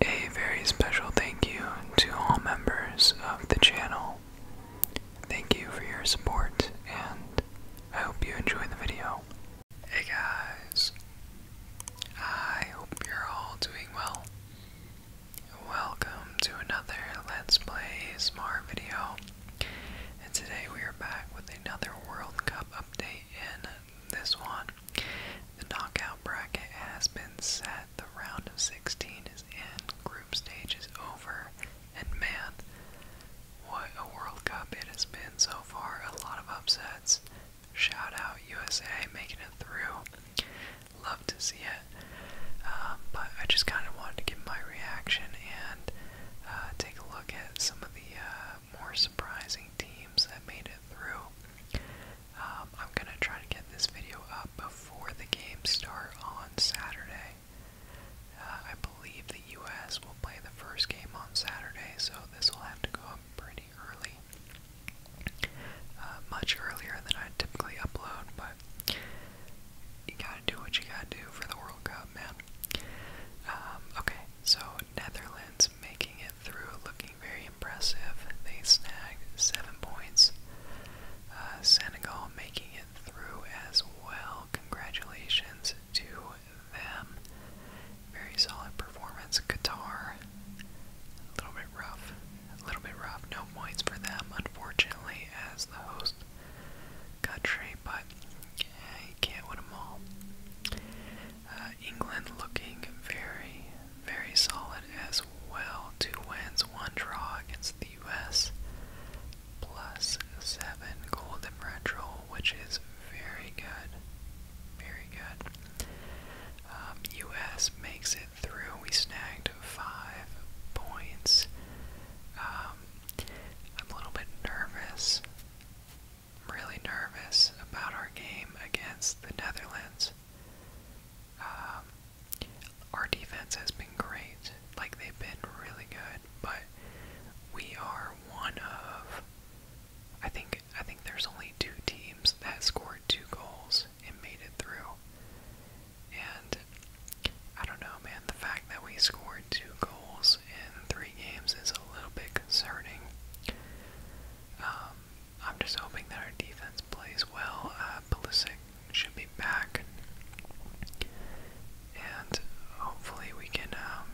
A very special thank you to all members of the channel. Thank you for your support, and I hope you enjoy the video. Hey guys, I hope you're all doing well. Welcome to another Let's Play Smart video. And today we are back with another World Cup update. In this one, the knockout bracket has been set. The round of 16 is in, group stage is over, and man, what a World Cup it has been so far. A lot of upsets. Shout out USA making it through. Love to see it. Um, but I just kind of wanted to give my reaction and uh, take a look at some of the uh, more surprising teams that made it through. Um, I'm gonna try to get this video up before the games start on Saturday. Uh, I believe the U.S. will play the first game on Saturday, so this will have to go up pretty early, much earlier than I typically upload. But you gotta do what you gotta do for the World Cup, man. Um, okay, so Netherlands making it through, looking very impressive. They snagged seven points. Uh, Senegal making it through as well. Congratulations to them. Very solid performance. Qatar, a little bit rough. A little bit rough. No points for them, unfortunately, as the host country, but you can't win them all. Uh, England looking very, very solid as well. Two wins, one draw against the U.S. Plus seven goal differential, which is very good. Very good. U.S. Um, makes it through. We snagged five points. Um, I'm a little bit nervous. I'm really nervous about our game against the Netherlands. Um, our defense has been great, like they've been really good, but we are one of I think I think there's only two teams that scored two goals and made it through. And I don't know, man. The fact that we scored two goals in three games is a little bit concerning. Um, I'm just hoping that our defense plays well. Uh, should be back, and hopefully we can um,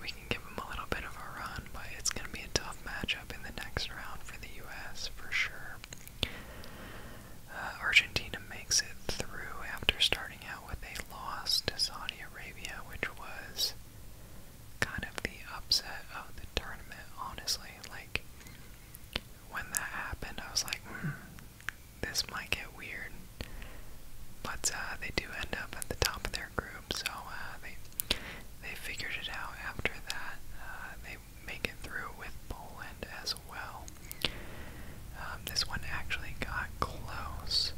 we can give him a little bit of a run. But it's gonna be a tough matchup in the next round for the U.S. for sure. Uh, Argentina makes it through after starting out out with a loss to Saudi Arabia, which was kind of the upset of the tournament, honestly. Like, when that happened, I was like, hmm, this might get weird. But uh, they do end up at the top of their group, so uh, they, they figured it out after that. Uh, they make it through with Poland as well. Um, this one actually got close.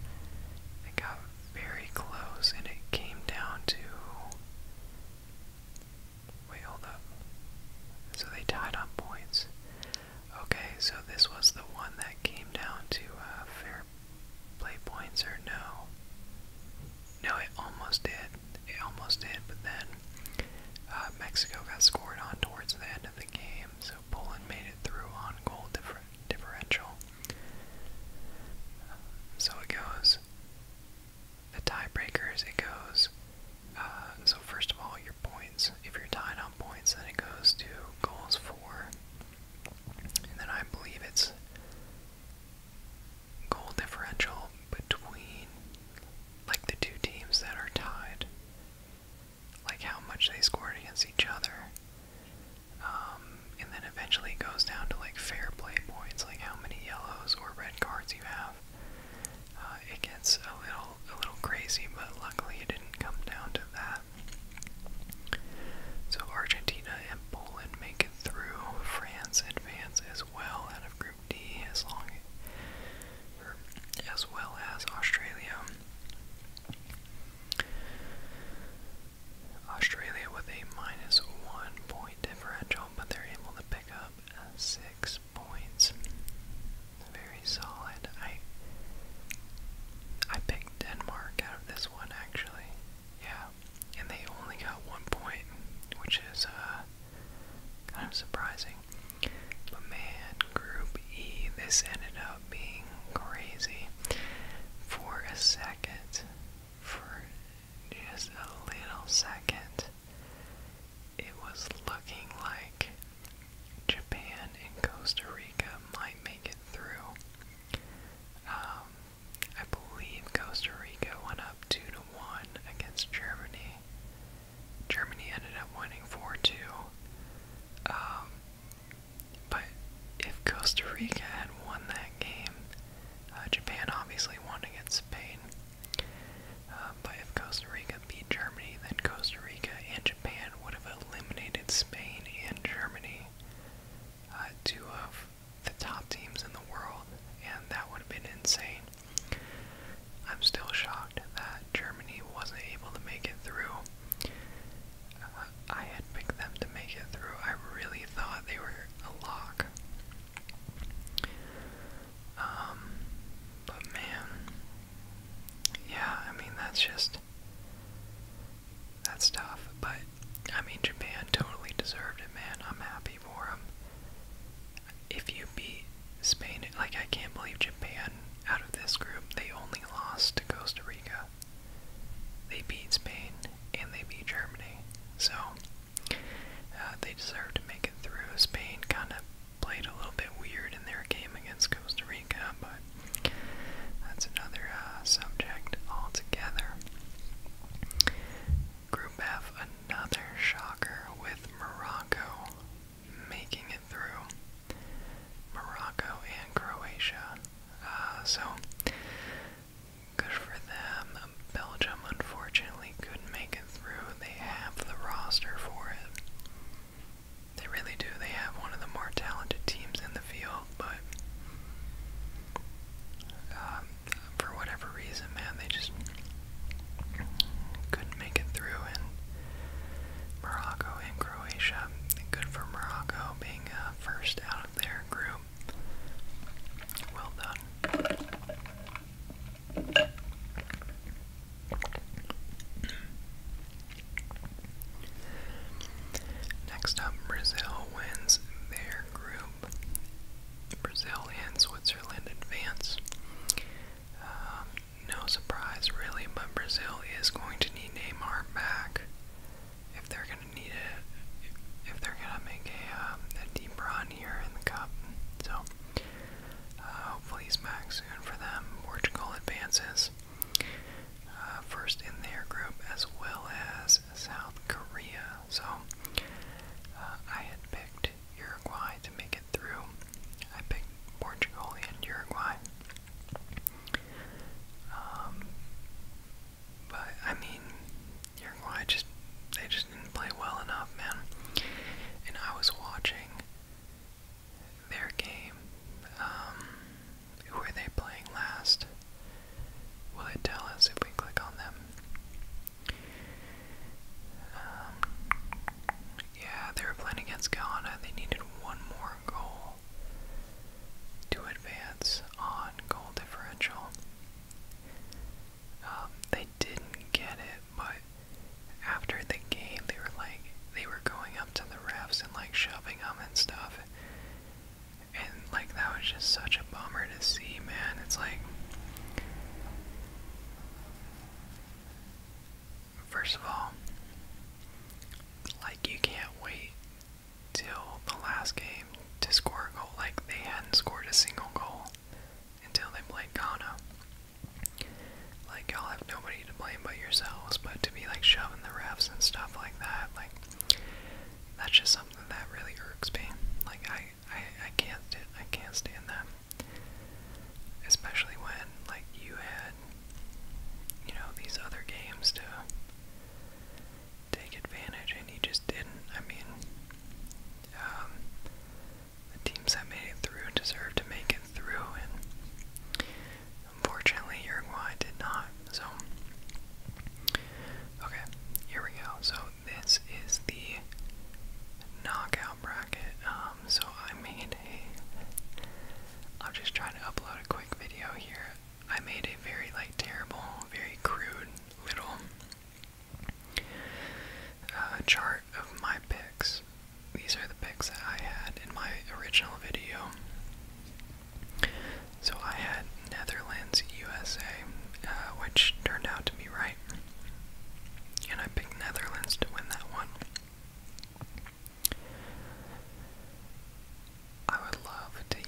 It got very close, and it came down to. Wait, hold up. So they tied on points. Okay, so this was the one that came down to uh, fair play points, or no? No, it almost did. It almost did, but then uh, Mexico got scored on towards the end of the the game, so Poland made it through on goal differ differential. Uh, so it goes the tiebreakers. It goes uh, so first of all your points. If you're tied on points, then it goes to goals for, and then I believe it's goal differential between like the two teams that are tied like how much they scored against each other. Um, and then eventually it goes down to like fair play points, like how many yellows or red cards you have. Uh, it gets a little a little crazy, but luckily it didn't come down to that. So Argentina and Poland make it through. France advance as well out of Group D, as long er, as well as Australia. Australia with a minus one point differential, but they're able to pick up six points. Very solid. I I picked Denmark out of this one actually. Yeah. And they only got one point, which is uh, kind of surprising. But man, group E, this ended up being crazy for a second, for just a little second, it was looking like Japan and Costa Rica might make it through. Um, I believe Costa Rica went up two to one against Germany. Germany ended up winning four two. Um, but if Costa Rica had won that game, uh, Japan obviously won against Spain. Uh, but if Costa Rica beat Germany, then Costa Rica and Japan would have eliminated Spain and Germany, uh, two of the top teams in the world, and that would have been insane. I'm still shocked that Germany wasn't able to make it through. I had picked them to make it through. I really thought they were a lock. Um, but man, yeah, I mean, that's just, that's tough. But, I mean, Japan totally deserved it, man. I'm happy for them. If you beat Spain, like, I can't believe Japan out of this group, they only lost to Costa Rica. They beat Spain and they beat Germany. So uh, they deserve to make it through. Spain kind of played a little bit weird in their game against Costa Rica, but that's another uh, subject altogether. Group F, another shocker with Morocco making it through. Morocco and Croatia. Uh, so good for them. Belgium unfortunately couldn't make it through. They have the roster for it. They really do. They have one of the more talented teams in the field, but um, for whatever reason, man, they just couldn't make it through. And Morocco and Croatia. Good for Morocco being uh, first out of their group. Well done. Next up, Brazil wins their group. Brazil and Switzerland advance. Um, no surprise, really, but Brazil is going to need Neymar back if they're gonna need it, if, if they're gonna make a, um, a deep run here in the cup. So uh, hopefully he's back soon for them. Portugal advances uh, first in their group as well as South Korea. So uh, I had picked Uruguay to make it through. I picked Portugal and Uruguay. Um, but I mean, Uruguay just they just didn't play well enough, man. And I was watching their game. Um, who are they playing last? Will it tell us if we click on them? Um, yeah, they were playing against Ghana. They needed one more goal to advance on goal differential. Um, they didn't get it, but after the game, they were like, they were going up to the refs and like shoving them and stuff. And like, that was just such a bummer to see, man. It's like, first of all, like, you can't wait till the last game to score a goal. Like they hadn't scored a single goal until they played Ghana. Like y'all have nobody to blame but yourselves, but to be like shoving the refs and stuff like that, like that's just something that really irks me. Like I, I, I can't, I can't stand that. Especially when like you had you know, these other games to take advantage, and he just didn't. I mean, um, the teams that made it through deserve to make it through, and unfortunately, Uruguay did not. So, okay, here we go. So, this is the knockout bracket. Um, so, I made a. I'm just trying to upload a quick video here I made a very like terrible, very crude little uh, chart of my picks. These are the picks that I had in my original video. So I had Netherlands, USA, uh, which turned out to be right. And I picked Netherlands to win that one. I would love to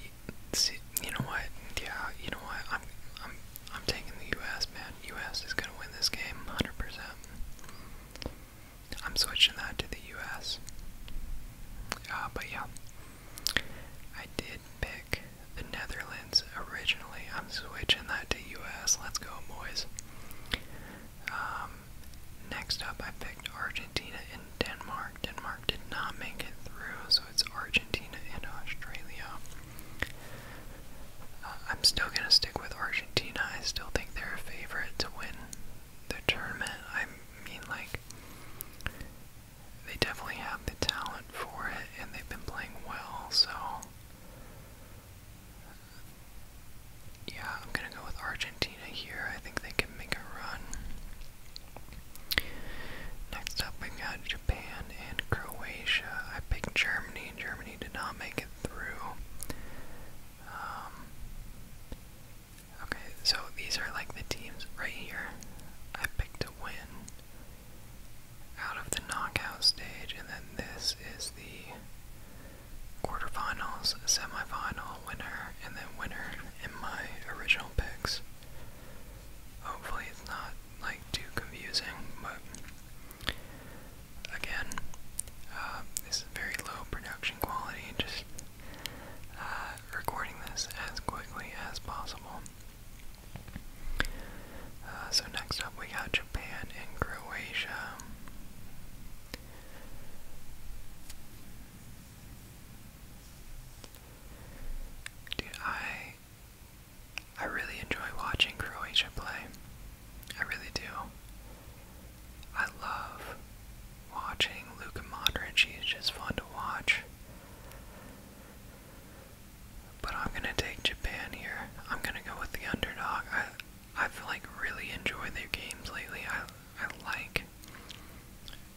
see. You know what? Yeah, you know what? I'm, I'm, I'm taking the U.S. Man, U.S. is gonna win this game, hundred percent. I'm switching that to the U.S. Uh, but yeah, I did pick the Netherlands originally. I'm switching that to U.S. Let's go, boys. Uh, um, next up, I picked Argentina and Denmark. Denmark did not make it through, so it's Argentina and Australia. Uh, I'm still gonna stick with Argentina. I still think they're a favorite to win the tournament. I mean, like, they definitely have the talent for it, and they've been playing well, so. Yeah, I'm gonna go with Argentina here. I think they can make a run. Next up, we got Japan and Croatia. I picked Germany. Germany did not make it through. Um, okay, so these are like the teams right here. I picked a win out of the knockout stage, and then this is the quarterfinals, semifinal, winner and then winner in my original picks. Hopefully it's not like too confusing, but again, uh, this very low production quality, just uh, recording this as quickly as possible. Uh, so next up we got Japan and Croatia. Dude, I I really enjoy watching Croatia play. I really do. I love watching Luka Modric. He's just fun to watch. But I'm gonna take Japan here. I'm gonna go with the underdog. I I've like really enjoyed their games lately. I I like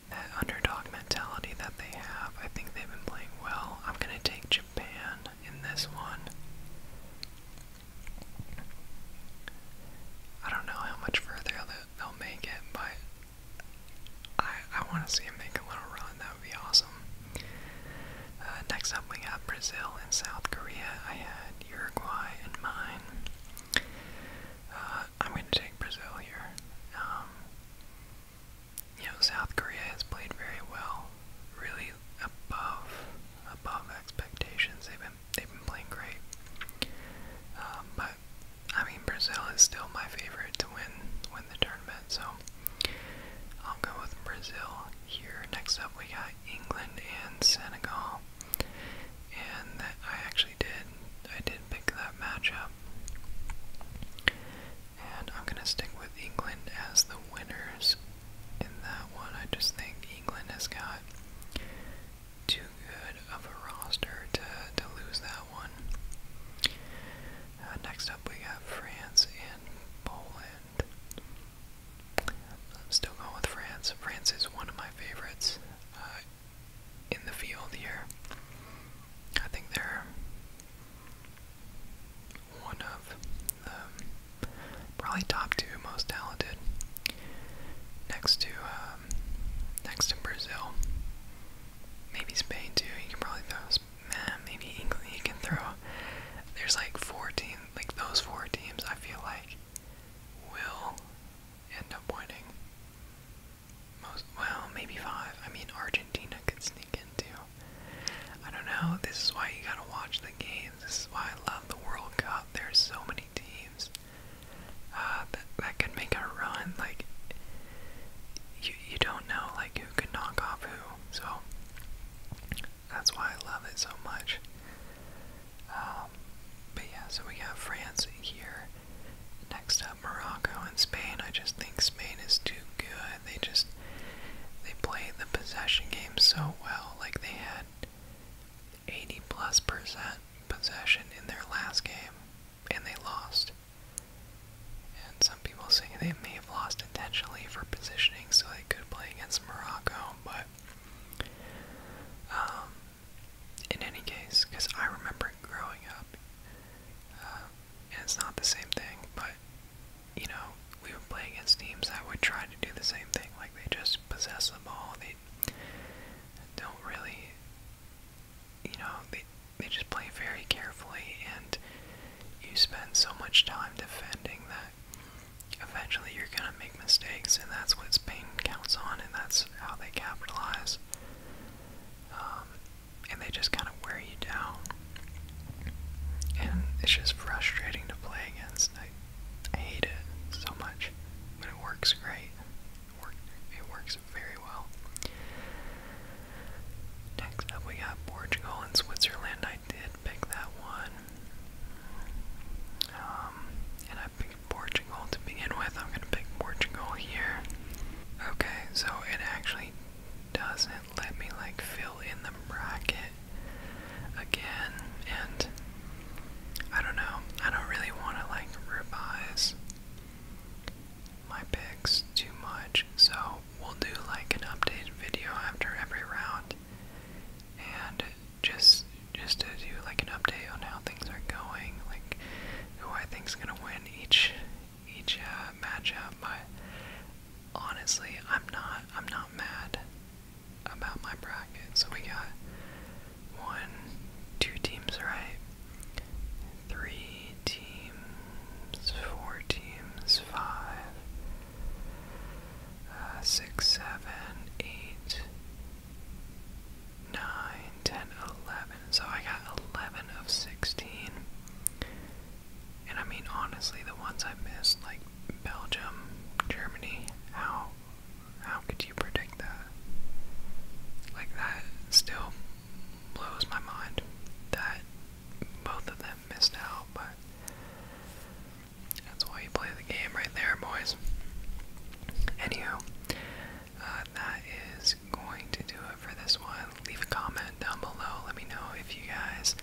that underdog mentality that they have. I think they've been playing well. I'm going to take Japan in this one. I don't know how much further they'll make it, but I, I want to see them make a little run. That would be awesome. Uh, next up, we got Brazil and South Korea. I had Uruguay and mine. Uh, I'm going to take Brazil here. Um, you know, South Korea has played very well, really above above expectations. They've been they've been playing great. Um, but I mean, Brazil is still my favorite to win win the tournament, so I'll go with Brazil here. Next up, we got England and Senegal, and I actually actually did. I did pick that matchup. And I'm going to stick with England as the winners in that one. I just think England has got too good of a roster to, to lose that one. Uh, next up, we have France and Poland. I'm still going with France. France is one of my favorites. Uh, in the field here. I think they're one of um, probably top two most talented, next to um, next to Brazil, maybe Spain too. You can probably throw man, maybe England. You can throw. There's like four teams, like those four teams. I feel like will end up winning most well, maybe five. I mean, Argentina could sneak in too. I don't know. This is why you gotta watch the games. This is why I love the World Cup. There's so many teams uh, that that could make a run. Like you, you don't know like who could knock off who. So that's why I love it so much. Um, but yeah, so we have France here. Next up, Morocco and Spain. I just think Spain is too good. They just they play the possession game so well. Like they had 80 plus percent possession in their last game, and they lost. And some people say they may have lost intentionally for positioning so they could play against Morocco, but um, in any case, because I remember growing up, uh, and it's not the same thing, but you know, we would play against teams that would try to do the same thing. Like they just possess the ball. They don't really, you know, they they just play very carefully, and you spend so much time defending that eventually you're gonna make mistakes, and that's what Spain counts on, and that's how they capitalize um, and they just kind of wear you down. And it's just frustrating to play against. I, I hate it so much, but it works great. It, work, it works very well. Next up, we got Portugal and Switzerland. I did pick that one, um, and I picked Portugal to begin with. I'm going to pick Portugal here. Okay, so it actually doesn't let me like fill in the bracket again and I don't know. I don't really want to like revise my picks too much. So we'll do like an update video after every round and just just to do like an update on how things are going, like who I think's gonna win each each uh, matchup. My honestly, I'm not I'm not mad about my bracket. So we got one, two teams right, three teams, four teams, five, uh, 9, So I got 11 of 16. And I mean, honestly, the ones I missed, like Belgium, Germany, how how could you predict that? Like that still blows my mind that both of them missed out, but that's why you play the game right there, boys. Anywho, uh, that is going to do it for this one. Leave a comment down below. Let me know if you guys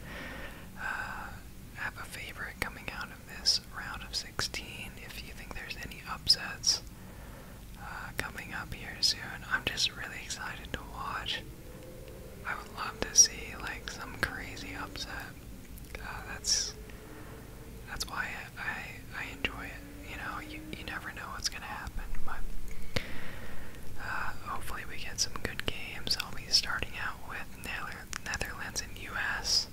uh, have a favorite coming out of this round of 16. If you think there's any upsets uh, coming up here soon, I'm just really excited to watch. I would love to see like some crazy upset. that's that's why I, I I enjoy you know, you, you never know what's going to happen. But uh, hopefully, we get some good games. I'll be starting out with Netherlands and U.S.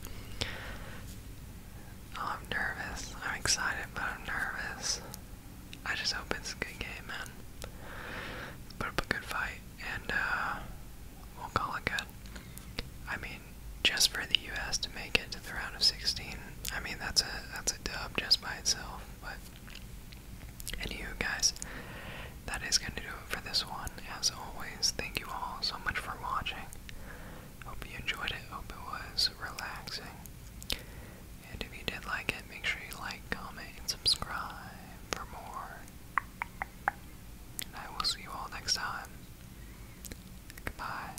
Oh, I'm nervous. I'm excited, but I'm nervous. I just hope it's a good game, man. Put a good fight, and uh, we'll call it good. I mean, just for the U.S. to make it to the round of 16, I mean that's a that's a dub just by itself. But anywho, guys, that is going to do it for this one. As always, thank you all so much for watching. Hope you enjoyed it. Hope it was relaxing. And if you did like it, make sure you like, comment, and subscribe for more. And I will see you all next time. Goodbye.